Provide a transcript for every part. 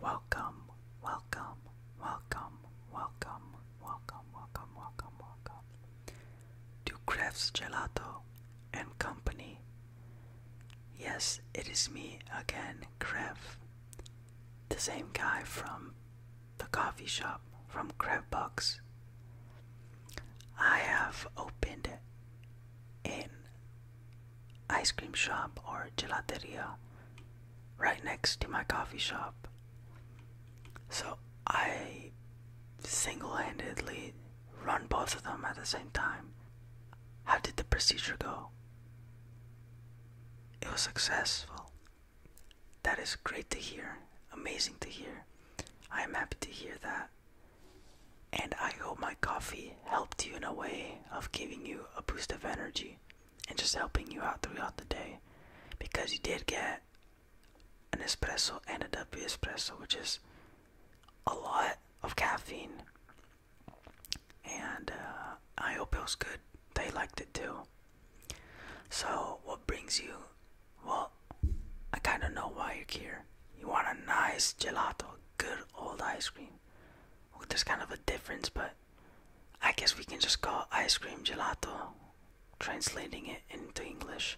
Welcome, welcome, welcome, welcome, welcome, welcome, welcome, welcome to Crafts Gelato and Company. Yes, it is me again, Krev. The same guy from the coffee shop from Crab Bucks. I have opened in ice cream shop or gelateria right next to my coffee shop. So I single handedly run both of them at the same time. How did the procedure go? It was successful. That is great to hear, amazing to hear. I am happy to hear that. And I hope my coffee helped you in a way of giving you a boost of energy and just helping you out throughout the day. Because you did get an espresso and a double espresso, which is a lot of caffeine. And uh, I hope it was good. They liked it too. So, what brings you? Well, I kind of know why you're here. You want a nice gelato, good old ice cream. Well, there's kind of a difference, but I guess we can just call ice cream gelato, translating it into English.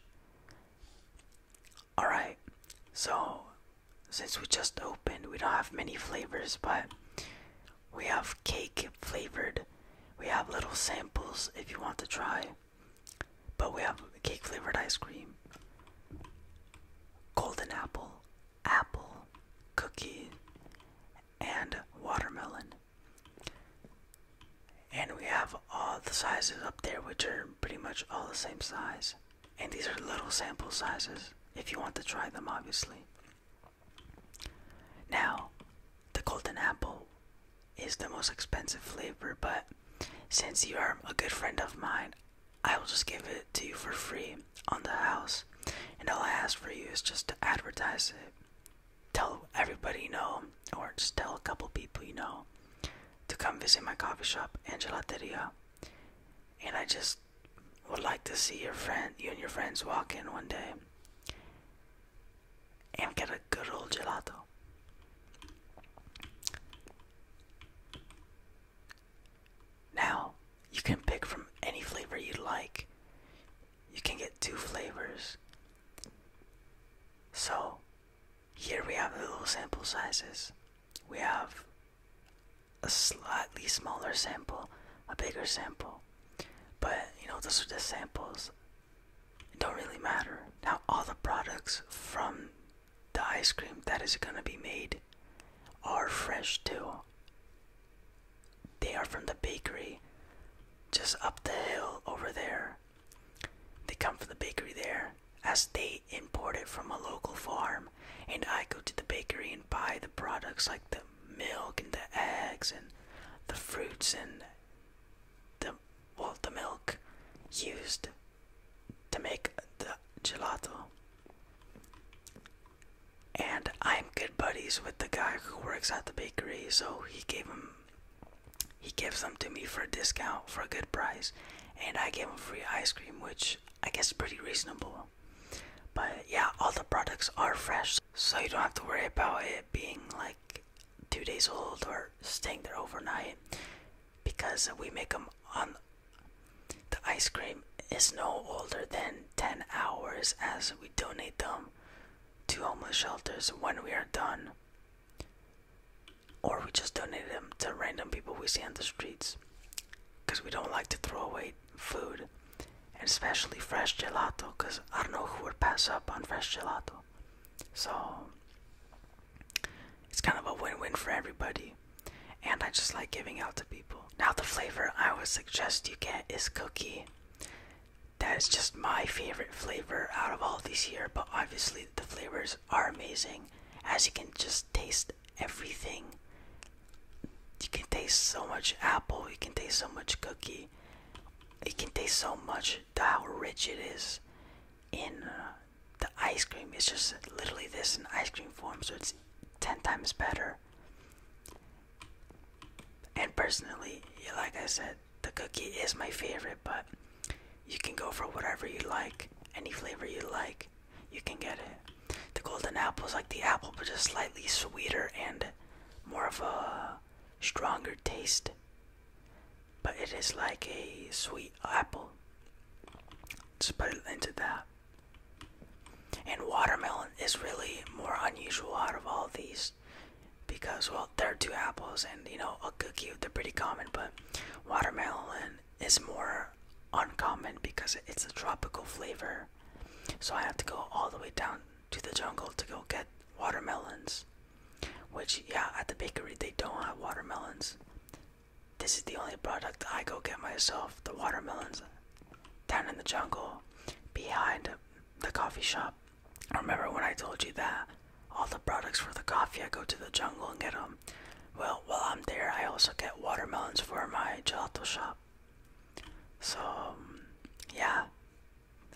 Alright, so since we just opened, we don't have many flavors, but we have cake flavored. We have little samples if you want to try, but we have cake flavored ice cream golden apple, apple, cookie, and watermelon. And we have all the sizes up there, which are pretty much all the same size. And these are little sample sizes if you want to try them, obviously. Now, the golden apple is the most expensive flavor, but since you are a good friend of mine, I will just give it to you for free on the house, and all I ask for you is just to advertise it. Tell everybody you know, or just tell a couple people you know, to come visit my coffee shop and gelateria. And I just would like to see your friend, you and your friends, walk in one day and get a good old gelato. Now, you can pick from any flavor you like. You can get two flavors. So, here we have little sample sizes. We have a slightly smaller sample, a bigger sample. But, you know, those are the samples. It don't really matter. Now, all the products from the ice cream that is gonna be made are fresh too. They are from the bakery just up the hill over there. They come from the bakery there as they import it from a local farm and I go to the bakery and buy the products like the milk and the eggs and the fruits and the well the milk used to make the gelato. And I'm good buddies with the guy who works at the bakery, so he gave him he gives them to me for a discount for a good price, and I gave him free ice cream, which I guess is pretty reasonable. But yeah, all the products are fresh, so you don't have to worry about it being like two days old or staying there overnight because we make them on the ice cream is no older than 10 hours as we donate them to homeless shelters when we are done or we just donate them to random people we see on the streets because we don't like to throw away food and especially fresh gelato because i don't know who would pass up on fresh gelato so it's kind of a win-win for everybody and i just like giving out to people now the flavor i would suggest you get is cookie that is just my favorite flavor out of all these here but obviously the flavors are amazing as you can just taste everything you can taste so much apple you can taste so much cookie you can taste so much how rich it is in uh, the ice cream. It's just literally this in ice cream form, so it's 10 times better. And personally, like I said, the cookie is my favorite, but you can go for whatever you like, any flavor you like, you can get it. The golden apple is like the apple, but just slightly sweeter and more of a stronger taste but it is like a sweet apple. Just put it into that. And watermelon is really more unusual out of all these because, well, there are two apples and, you know, a cookie, they're pretty common, but watermelon is more uncommon because it's a tropical flavor. So I have to go all the way down to the jungle to go get watermelons. Which, yeah, at the bakery they don't have watermelons. This is the only product I go get myself the watermelons down in the jungle behind the coffee shop. Remember when I told you that all the products for the coffee I go to the jungle and get them? Well, while I'm there, I also get watermelons for my gelato shop. So, um, yeah,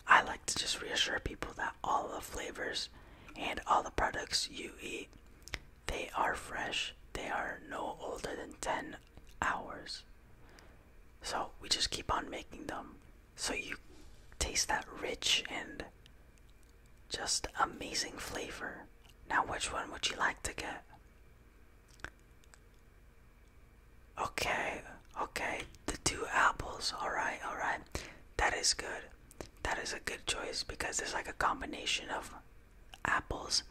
I like to just reassure people that all the flavors and all the products you eat, they are fresh. They are no older than 10 hours. So, we just keep on making them so you taste that rich and just amazing flavor. Now, which one would you like to get? Okay, okay, the two apples. Alright, alright. That is good. That is a good choice because it's like a combination of apples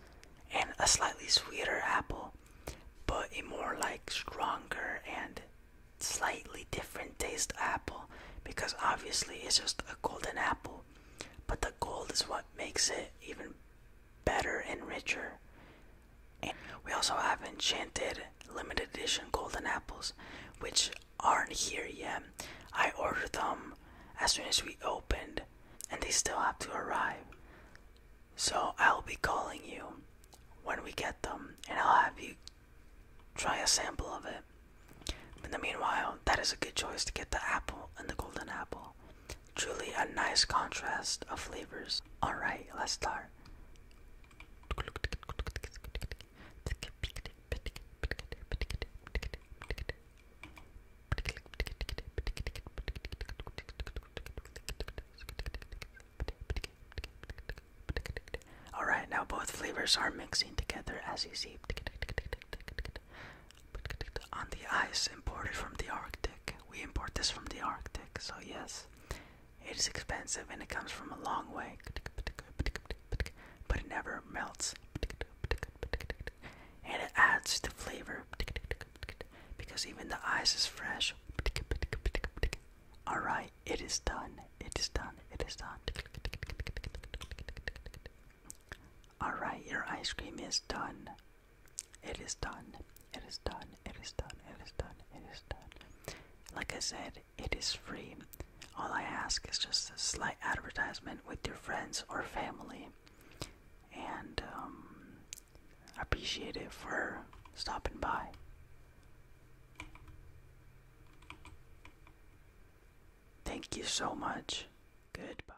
and a slightly sweeter apple, but a more like stronger and slightly different taste apple because obviously it's just a golden apple, but the gold is what makes it even better and richer. we also have enchanted limited edition golden apples, which aren't here yet. I ordered them as soon as we opened, and they still have to arrive. So I'll be calling you when we get them, and I'll have you try a sample of it. In the meanwhile, that is a good choice to get the apple and the golden apple truly a nice contrast of flavors. Alright, let's start. Alright, now both flavors are mixing together as you see on the ice imported from the Arctic. We import this from the Arctic, so yes, it is expensive and it comes from a long way, but it never melts. And it adds the flavor because even the ice is fresh. Alright, it is done. It is done. It is done. Alright, your ice cream is done. It is done. It is done. It is done. It is done. It is done. Like I said, it is free. All I ask is just a slight advertisement with your friends or family. And um, appreciate it for stopping by. Thank you so much. Goodbye.